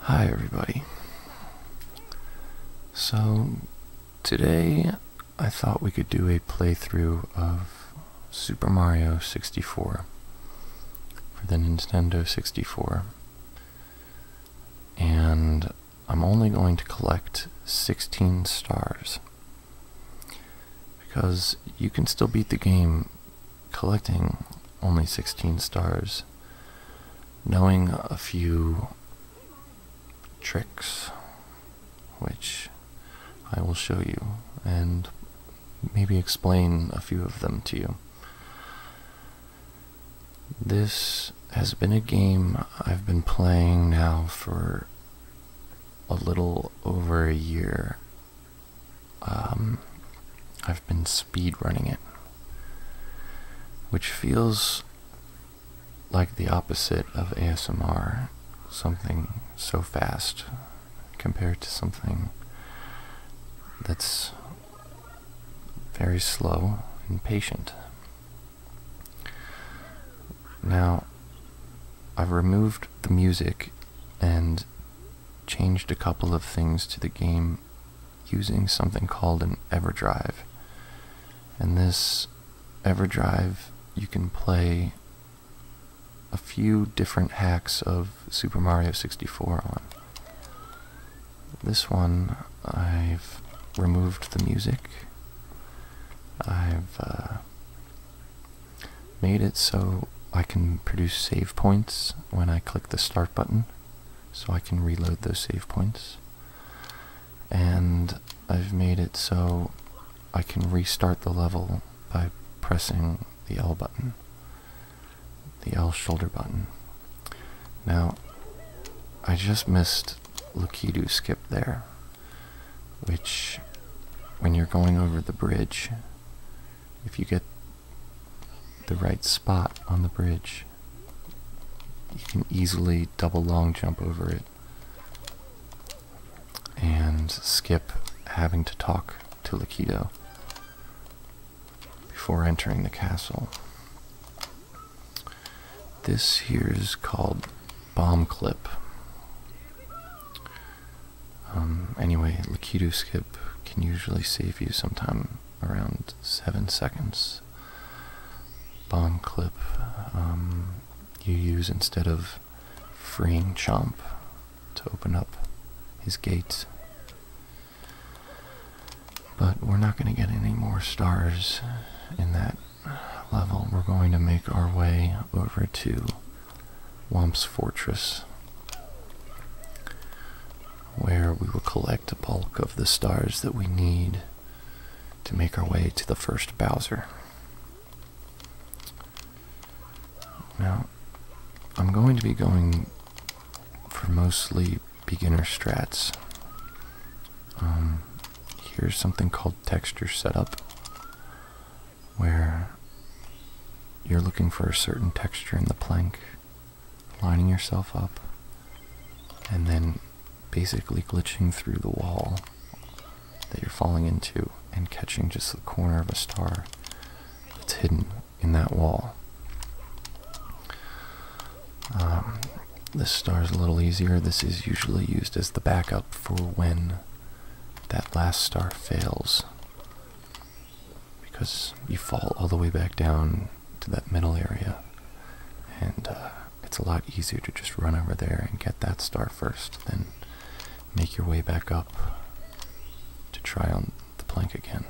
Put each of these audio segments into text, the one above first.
Hi, everybody. So, today I thought we could do a playthrough of Super Mario 64 for the Nintendo 64. And I'm only going to collect 16 stars. Because you can still beat the game collecting only 16 stars, knowing a few tricks, which I will show you, and maybe explain a few of them to you. This has been a game I've been playing now for a little over a year um, I've been speed running it, which feels like the opposite of ASMR, something so fast compared to something that's very slow and patient. Now, I've removed the music and changed a couple of things to the game using something called an EverDrive. And this EverDrive, you can play a few different hacks of Super Mario 64 on. This one, I've removed the music. I've uh, made it so I can produce save points when I click the start button so I can reload those save points and I've made it so I can restart the level by pressing the L button the L shoulder button now I just missed Lukidu skip there which when you're going over the bridge if you get the right spot on the bridge, you can easily double long jump over it and skip having to talk to Lakido before entering the castle. This here is called Bomb Clip. Um, anyway, Lakitu skip can usually save you some time, around 7 seconds. Bomb clip um, you use instead of freeing Chomp to open up his gates. But we're not going to get any more stars in that level. We're going to make our way over to Womp's Fortress, where we will collect a bulk of the stars that we need to make our way to the first Bowser. Now, I'm going to be going for mostly beginner strats. Um, here's something called texture setup where you're looking for a certain texture in the plank, lining yourself up, and then basically glitching through the wall that you're falling into and catching just the corner of a star that's hidden in that wall. Um, this star is a little easier. This is usually used as the backup for when that last star fails because you fall all the way back down to that middle area, and uh, it's a lot easier to just run over there and get that star first, then make your way back up to try on the plank again.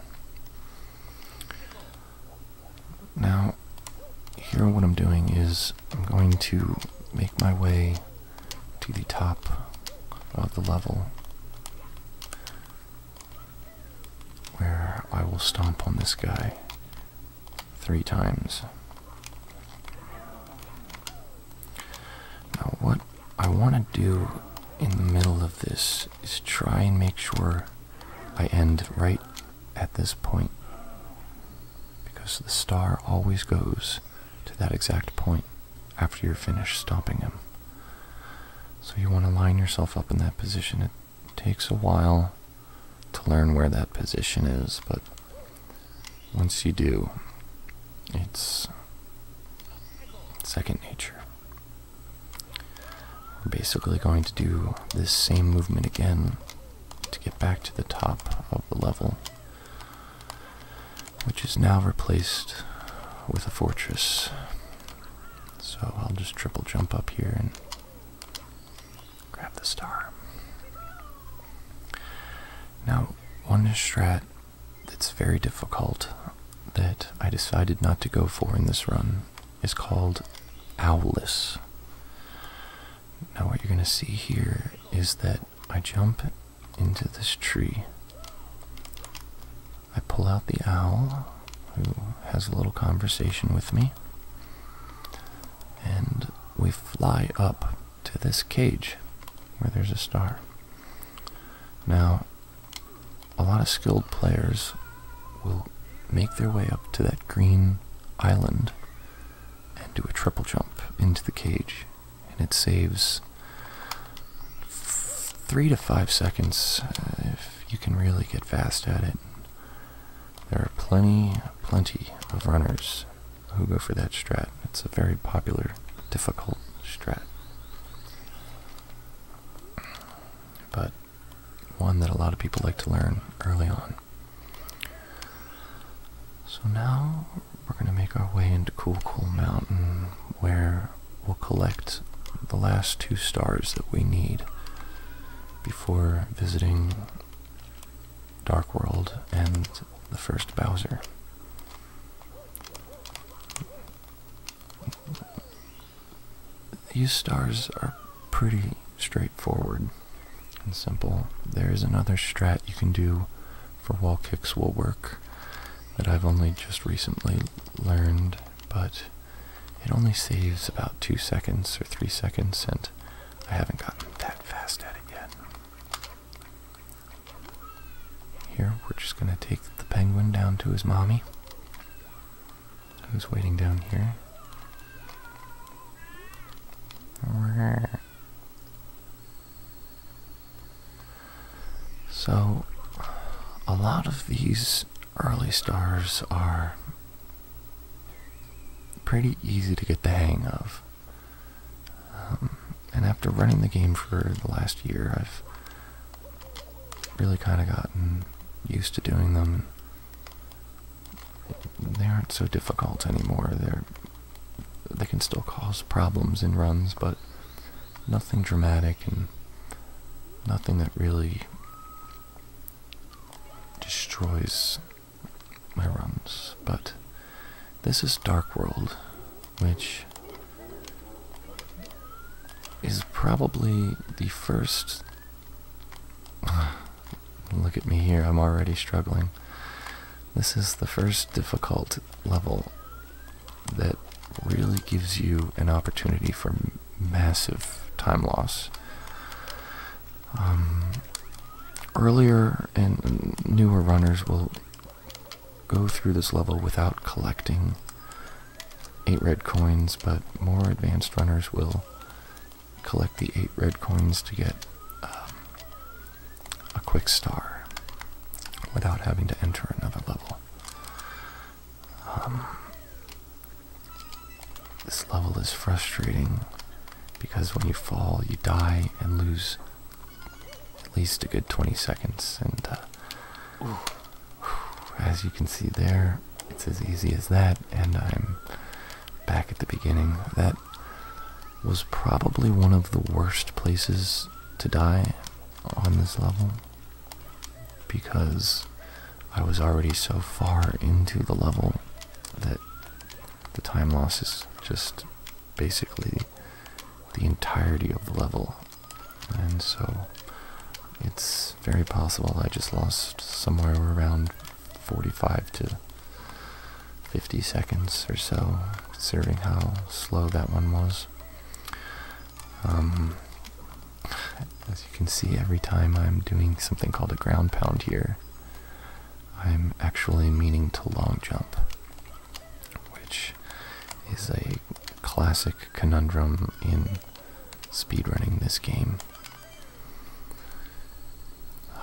Now, here what I'm doing is I'm going to make my way to the top of the level where I will stomp on this guy three times. Now what I want to do in the middle of this is try and make sure I end right at this point because the star always goes to that exact point after you're finished stopping him. So you want to line yourself up in that position. It takes a while to learn where that position is, but once you do, it's second nature. We're basically going to do this same movement again to get back to the top of the level which is now replaced with a fortress. So I'll just triple jump up here and grab the star. Now, one strat that's very difficult that I decided not to go for in this run is called Owless. Now what you're going to see here is that I jump into this tree. I pull out the owl, who has a little conversation with me, and we fly up to this cage where there's a star. Now, a lot of skilled players will make their way up to that green island and do a triple jump into the cage and it saves three to five seconds uh, if you can really get fast at it. There are plenty, plenty of runners who go for that strat. It's a very popular, difficult strat. But one that a lot of people like to learn early on. So now we're going to make our way into Cool Cool Mountain where we'll collect the last two stars that we need before visiting Dark World and the first Bowser. These stars are pretty straightforward and simple. There is another strat you can do for wall kicks will work that I've only just recently learned, but it only saves about two seconds or three seconds, and I haven't gotten that fast at it yet. Here, we're just going to take the penguin down to his mommy, who's waiting down here. So, a lot of these early stars are pretty easy to get the hang of. Um, and after running the game for the last year, I've really kind of gotten used to doing them. They aren't so difficult anymore. They're they can still cause problems in runs, but nothing dramatic and nothing that really destroys my runs. But this is Dark World, which is probably the first. Look at me here, I'm already struggling. This is the first difficult level that really gives you an opportunity for massive time loss. Um, earlier and newer runners will go through this level without collecting 8 red coins, but more advanced runners will collect the 8 red coins to get um, a quick star without having to enter another level. Um, this level is frustrating because when you fall, you die and lose at least a good 20 seconds. And uh, as you can see there, it's as easy as that, and I'm back at the beginning. That was probably one of the worst places to die on this level because I was already so far into the level that the time loss is just basically the entirety of the level. And so it's very possible I just lost somewhere around 45 to 50 seconds or so, considering how slow that one was. Um, as you can see, every time I'm doing something called a ground pound here, I'm actually meaning to long jump, which is a classic conundrum in speedrunning this game.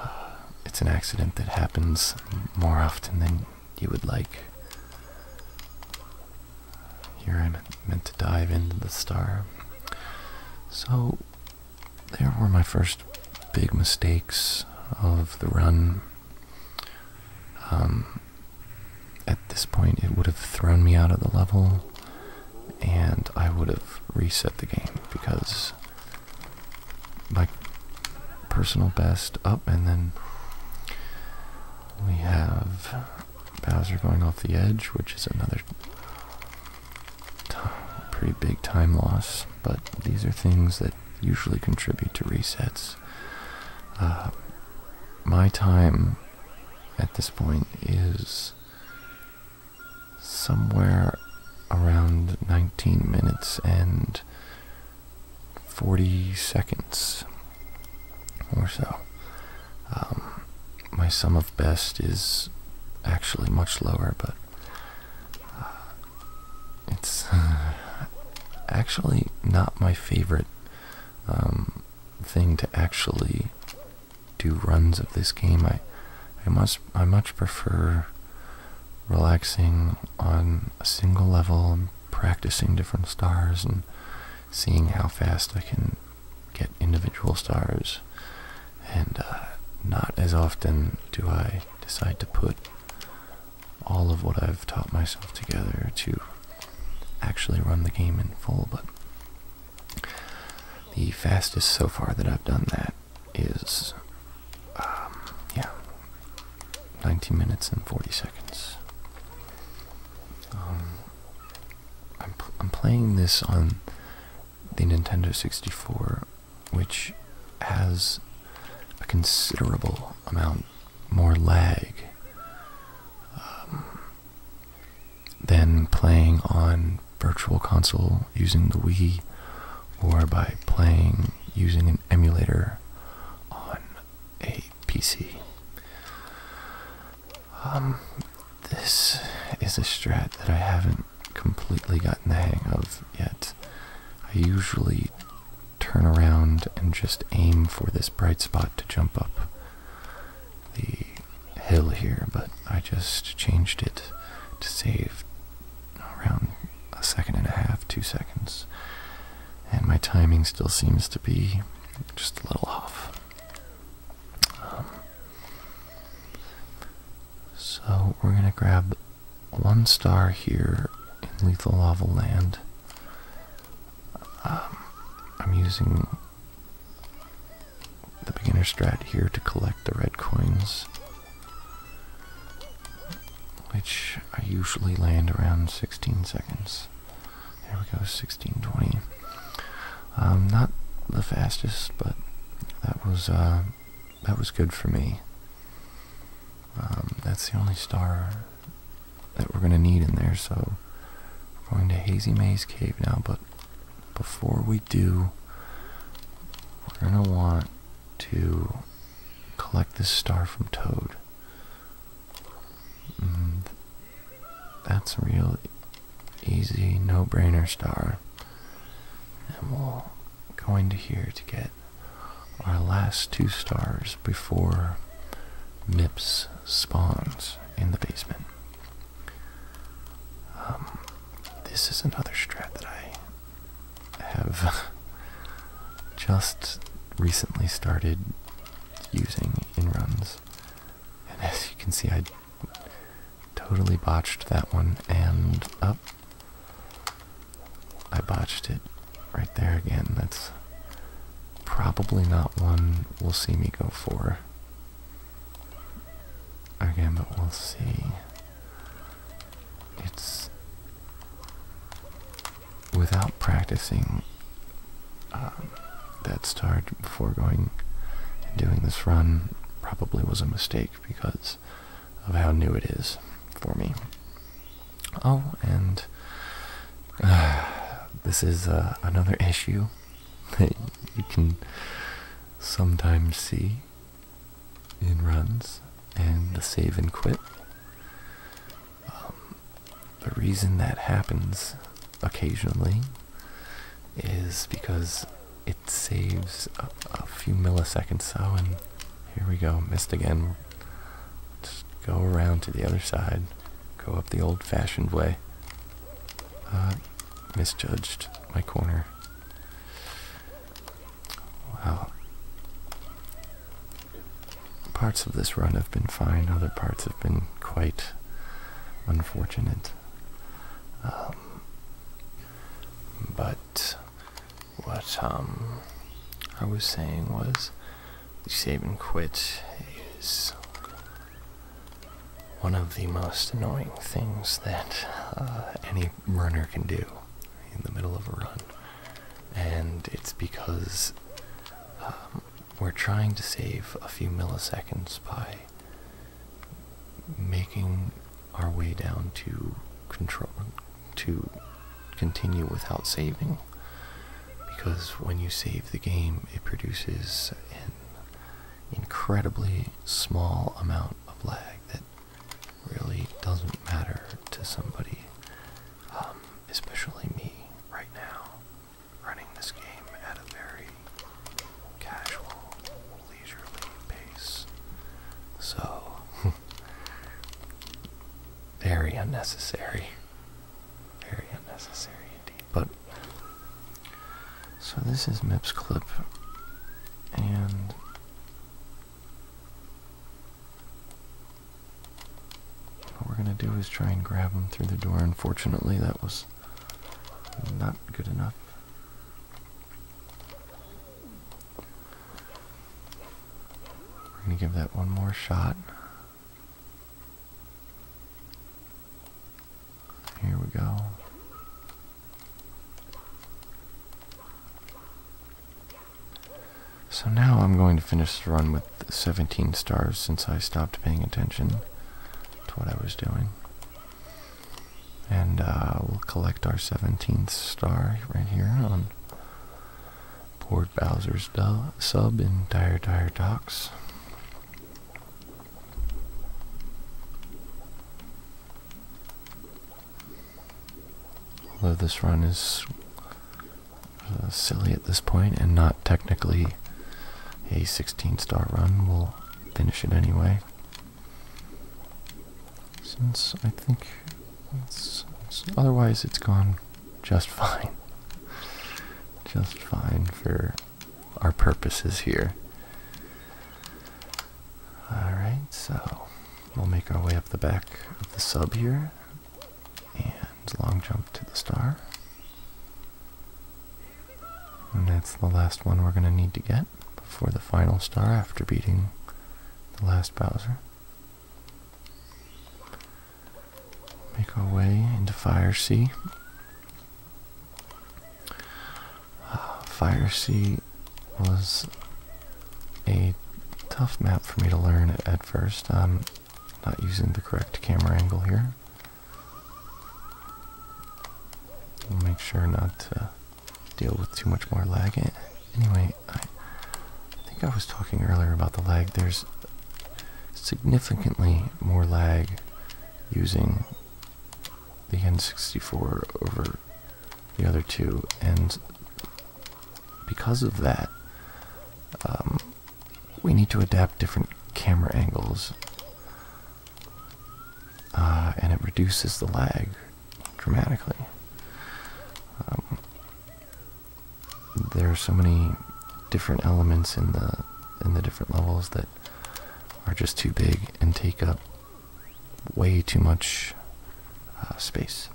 it's an accident that happens more often than you would like. Here I meant, to dive into the star. So, there were my first big mistakes of the run. Um, at this point, it would have thrown me out of the level, and I would have reset the game because my personal best up, and then we have Bowser going off the edge, which is another pretty big time loss. But these are things that usually contribute to resets. Uh, my time at this point is somewhere around 19 minutes and 40 seconds or so. Um, my sum of best is actually much lower, but uh, it's actually not my favorite um, thing to actually do runs of this game. I, I must, I much prefer relaxing on a single level and practicing different stars and seeing how fast I can get individual stars. And uh, not as often do I decide to put all of what I've taught myself together to actually run the game in full, but the fastest so far that I've done that is, um, yeah, 19 minutes and 40 seconds. Um, I'm playing this on the Nintendo 64, which has a considerable amount more lag um, than playing on Virtual Console using the Wii, or by playing using an emulator on a PC. Um, this is a strat that I haven't completely gotten the hang of yet. I usually turn around and just aim for this bright spot to jump up the hill here, but I just changed it to save around a second and a half, two seconds. And my timing still seems to be just a little off. Um, so we're going to grab one star here in Lethal Lava Land. Um, I'm using the beginner strat here to collect the red coins, which I usually land around 16 seconds. There we go, 1620. Um, not the fastest, but that was uh, that was good for me. Um, that's the only star that we're gonna need in there. So we're going to Hazy Maze Cave now, but before we do, we're gonna want to collect this star from Toad. Mm, that's a real easy no-brainer star. And we'll go into here to get our last two stars before MIPS spawns in the basement. Um, this is another strat that I have just recently started using in runs. And as you can see, I totally botched that one. And up. Oh, I botched it right there again. That's probably not one we'll see me go for. Again, but we'll see. It's without practicing um, that started before going and doing this run probably was a mistake because of how new it is for me. Oh, and this is uh, another issue that you can sometimes see in runs and the save and quit. Um, the reason that happens occasionally is because it saves a, few milliseconds. So, and here we go, missed again. Just go around to the other side, go up the old fashioned way. Uh, misjudged my corner. Wow. Parts of this run have been fine, other parts have been quite unfortunate. Um, but what um, I was saying was the save and quit is one of the most annoying things that uh, any runner can do in the middle of a run. And it's because um, we're trying to save a few milliseconds by making our way down to control to continue without saving because when you save the game it produces an incredibly small amount of lag that really doesn't matter to somebody um, especially me right now running this game at a very casual, leisurely pace. So, very unnecessary. Very unnecessary indeed. But, so this is MIPS clip, and. What we're gonna do is try and grab him through the door. Unfortunately, that was not good enough. We're going to give that one more shot. Here we go. So now I'm going to finish the run with. 17 stars since I stopped paying attention to what I was doing. And uh, we'll collect our 17th star right here on Port Bowser's sub in Dire Dire Docks. Although this run is uh, silly at this point and not technically a 16 star run. We'll finish it anyway. Since I think otherwise it's gone just fine. Just fine for our purposes here. Alright, so we'll make our way up the back of the sub here and long jump to the star. And that's the last one we're going to need to get before the final star after beating the last Bowser. Make our way into Fire C. Ah, Fire C was a tough map for me to learn at first. I'm not using the correct camera angle here. We'll make sure not to deal with too much more lag. Anyway, I think I was talking earlier about the lag. There's significantly more lag using the N64 over the other two, and because of that, um, we need to adapt different camera angles. Uh, and it reduces the lag dramatically. Um, there are so many different elements in the in the different levels that are just too big and take up way too much uh, space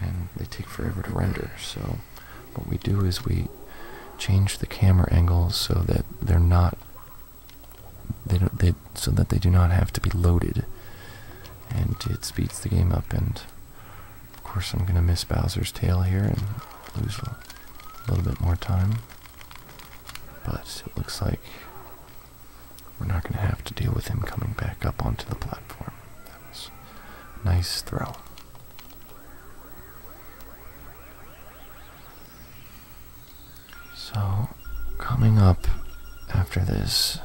and they take forever to render so what we do is we change the camera angles so that they're not they don't they so that they do not have to be loaded and it speeds the game up and of course I'm gonna miss Bowser's tail here and lose a little bit more time but it looks like we're not gonna have to deal with him coming back up onto the platform that was a nice throw so, coming up after this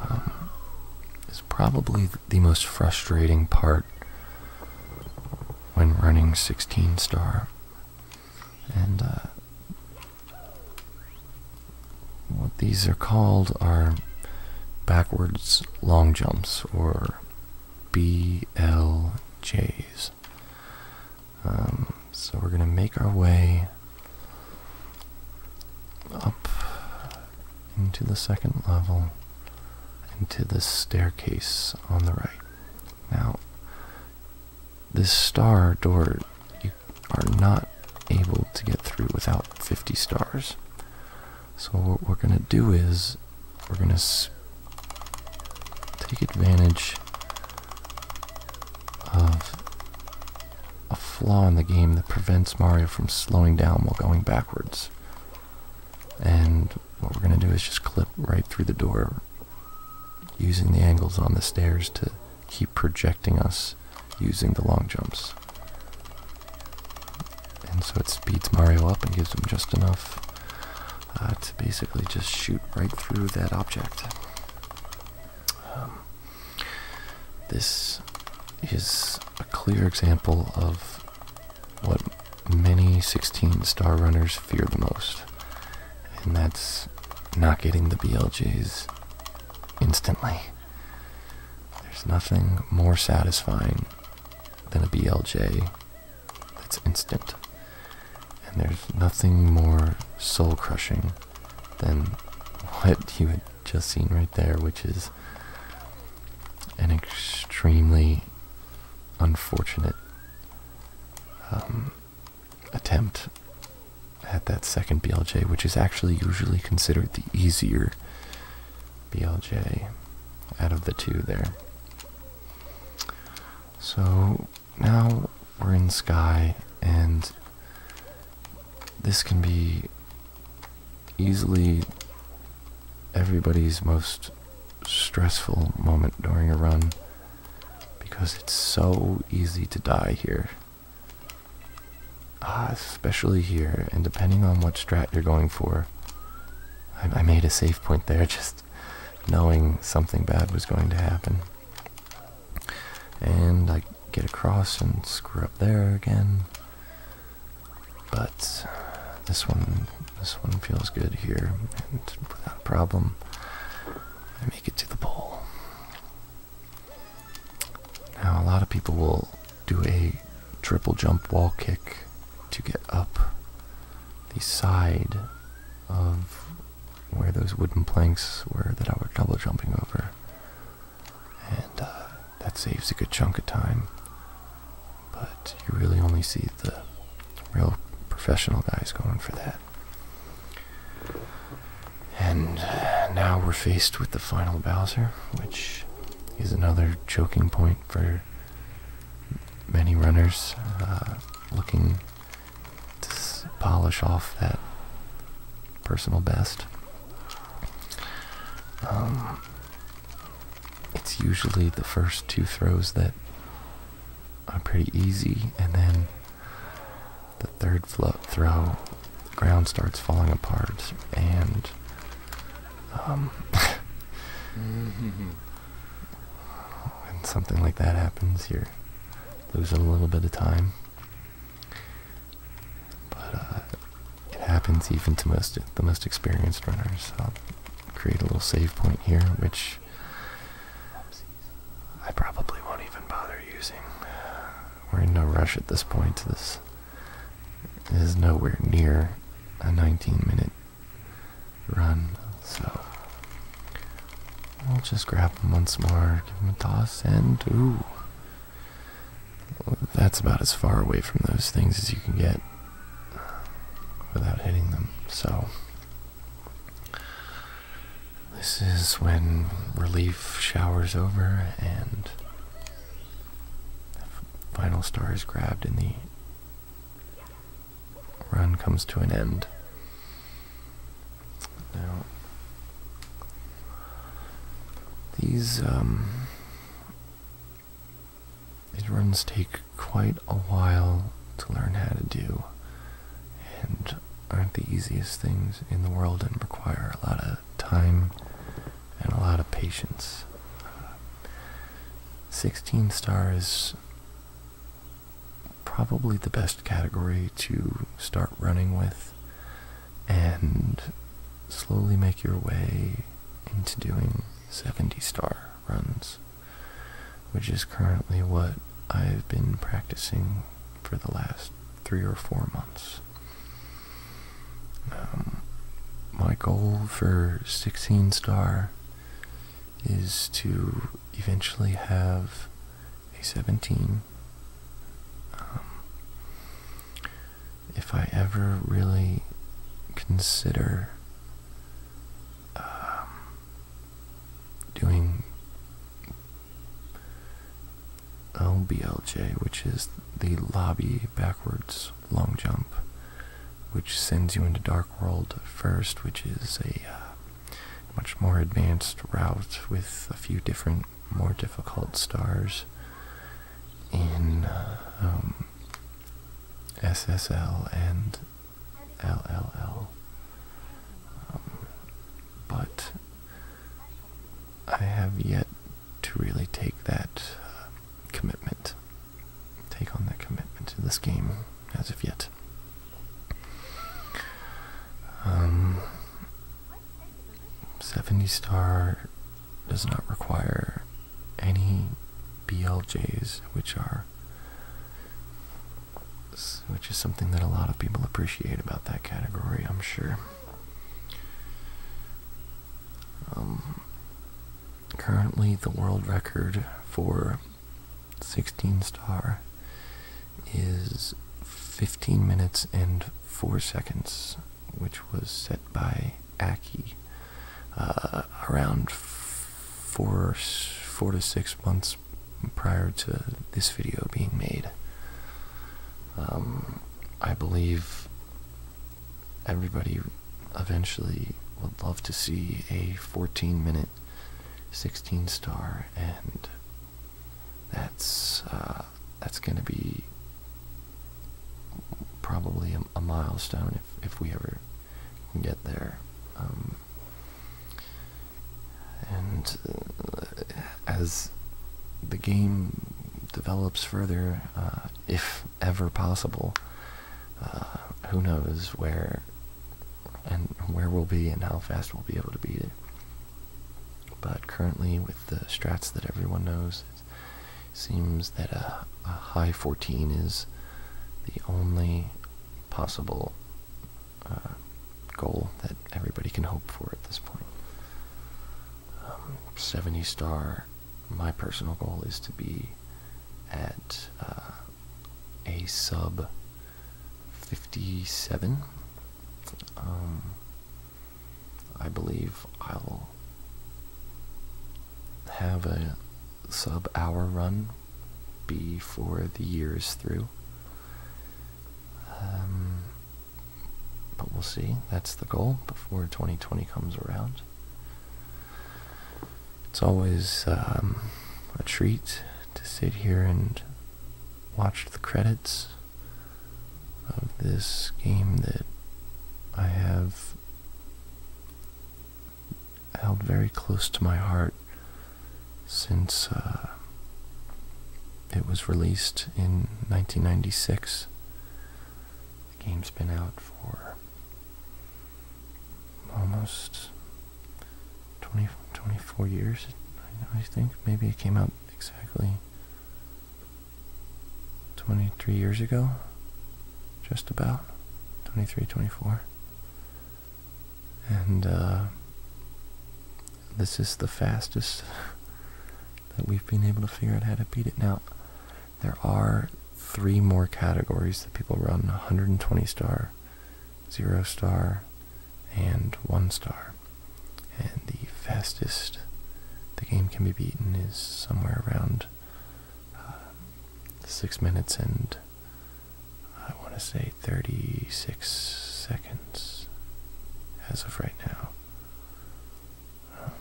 um, is probably the most frustrating part when running 16 star. And uh, what these are called are backwards long jumps or BLJs. Um, so we're going to make our way up into the second level, into the staircase on the right. Now, this star door, you are not able to get through without 50 stars. So what we're going to do is we're going to take advantage of a flaw in the game that prevents Mario from slowing down while going backwards. And what we're going to do is just clip right through the door using the angles on the stairs to keep projecting us using the long jumps. And so it speeds Mario up and gives him just enough uh, to basically just shoot right through that object. Um, this is a clear example of what many 16 star runners fear the most, and that's not getting the BLJs instantly. There's nothing more satisfying than a BLJ it's instant. And there's nothing more soul crushing than what you had just seen right there, which is an extremely unfortunate um, attempt at that second BLJ, which is actually usually considered the easier BLJ out of the two there. So now we're in sky and this can be easily everybody's most stressful moment during a run because it's so easy to die here. Ah, especially here, and depending on what strat you're going for. I made a safe point there just knowing something bad was going to happen. And I get across and screw up there again. But this one, this one feels good here, and without a problem, I make it to the pole. Now, a lot of people will do a triple jump wall kick to get up the side of where those wooden planks were that I was double jumping over. And uh, that saves a good chunk of time. But you really only see the real professional guys going for that. And uh, now we're faced with the final Bowser, which is another choking point for many runners uh, looking to polish off that personal best. Um, it's usually the first two throws that are pretty easy, and then the third throw, the ground starts falling apart, and um, mm-hmm when something like that happens, you lose a little bit of time. But uh, it happens even to most the most experienced runners. I'll create a little save point here, which I probably won't even bother using. We're in no rush at this point. This is nowhere near a 19 minute run. So we'll just grab them once more, give them a toss, and ooh. That's about as far away from those things as you can get without hitting them. So this is when relief showers over and final star is grabbed in the run comes to an end. Now, these, um, these runs take quite a while to learn how to do, and aren't the easiest things in the world and require a lot of time and a lot of patience. Uh, 16 stars probably the best category to start running with and slowly make your way into doing 70 star runs, which is currently what I've been practicing for the last three or four months. Um, my goal for 16 star is to eventually have a 17. Um, if I ever really consider um, doing LBLJ, which is the lobby backwards long jump, which sends you into dark. World first, which is a uh, much more advanced route with a few different, more difficult stars in uh, um, SSL and LLL. Um, but I have yet to really take that uh, commitment, take on that commitment to this game as of yet. Um, 70 star does not require any BLJs, which are which is something that a lot of people appreciate about that category, I'm sure. Um, currently, the world record for 16 star is 15 minutes and 4 seconds, which was set by Aki uh, around four, 4 to 6 months prior to this video being made. Um, I believe everybody eventually would love to see a 14 minute 16 star and that's uh, that's gonna be probably a, milestone if, if we ever get there um, and uh, as the game develops further uh, if ever possible uh, who knows where and where we'll be and how fast we'll be able to beat it. But currently, with the strats that everyone knows, it seems that a, high 14 is the only possible uh, goal that everybody can hope for at this point. Um, 70 star, my personal goal is to be at uh, a sub 57. Um, I believe I'll have a sub hour run before the year is through. Um, but we'll see. That's the goal before 2020 comes around. It's always um, a treat to sit here and watch the credits of this game that I have held very close to my heart since uh, it was released in 1996. The game's been out for almost 20, 24 years, I think. Maybe it came out exactly 23 years ago, just about. 23, 24. And uh, this is the fastest that we've been able to figure out how to beat it. Now, there are three more categories that people run 120 star zero star, and one star. And the fastest the game can be beaten is somewhere around uh, six minutes and I want to say 36 seconds as of right now. Um,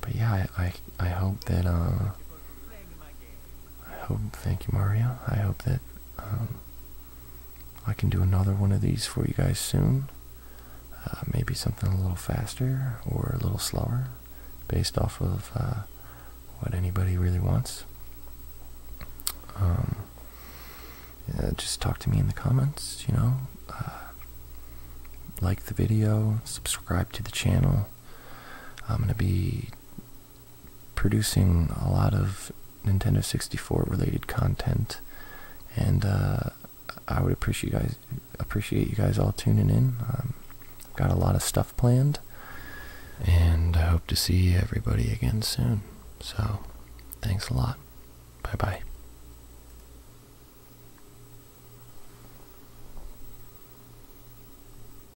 but yeah, I, I, hope that uh, I hope, thank you, Mario. I hope that um, I can do another one of these for you guys soon. Uh, maybe something a little faster or a little slower based off of uh, what anybody really wants. Um, just talk to me in the comments, you know. Uh, like the video, subscribe to the channel. I'm going to be producing a lot of Nintendo 64 related content, and uh, I would appreciate you guys appreciate you guys all tuning in. Um, got a lot of stuff planned, and hope to see everybody again soon. So, thanks a lot. Bye bye.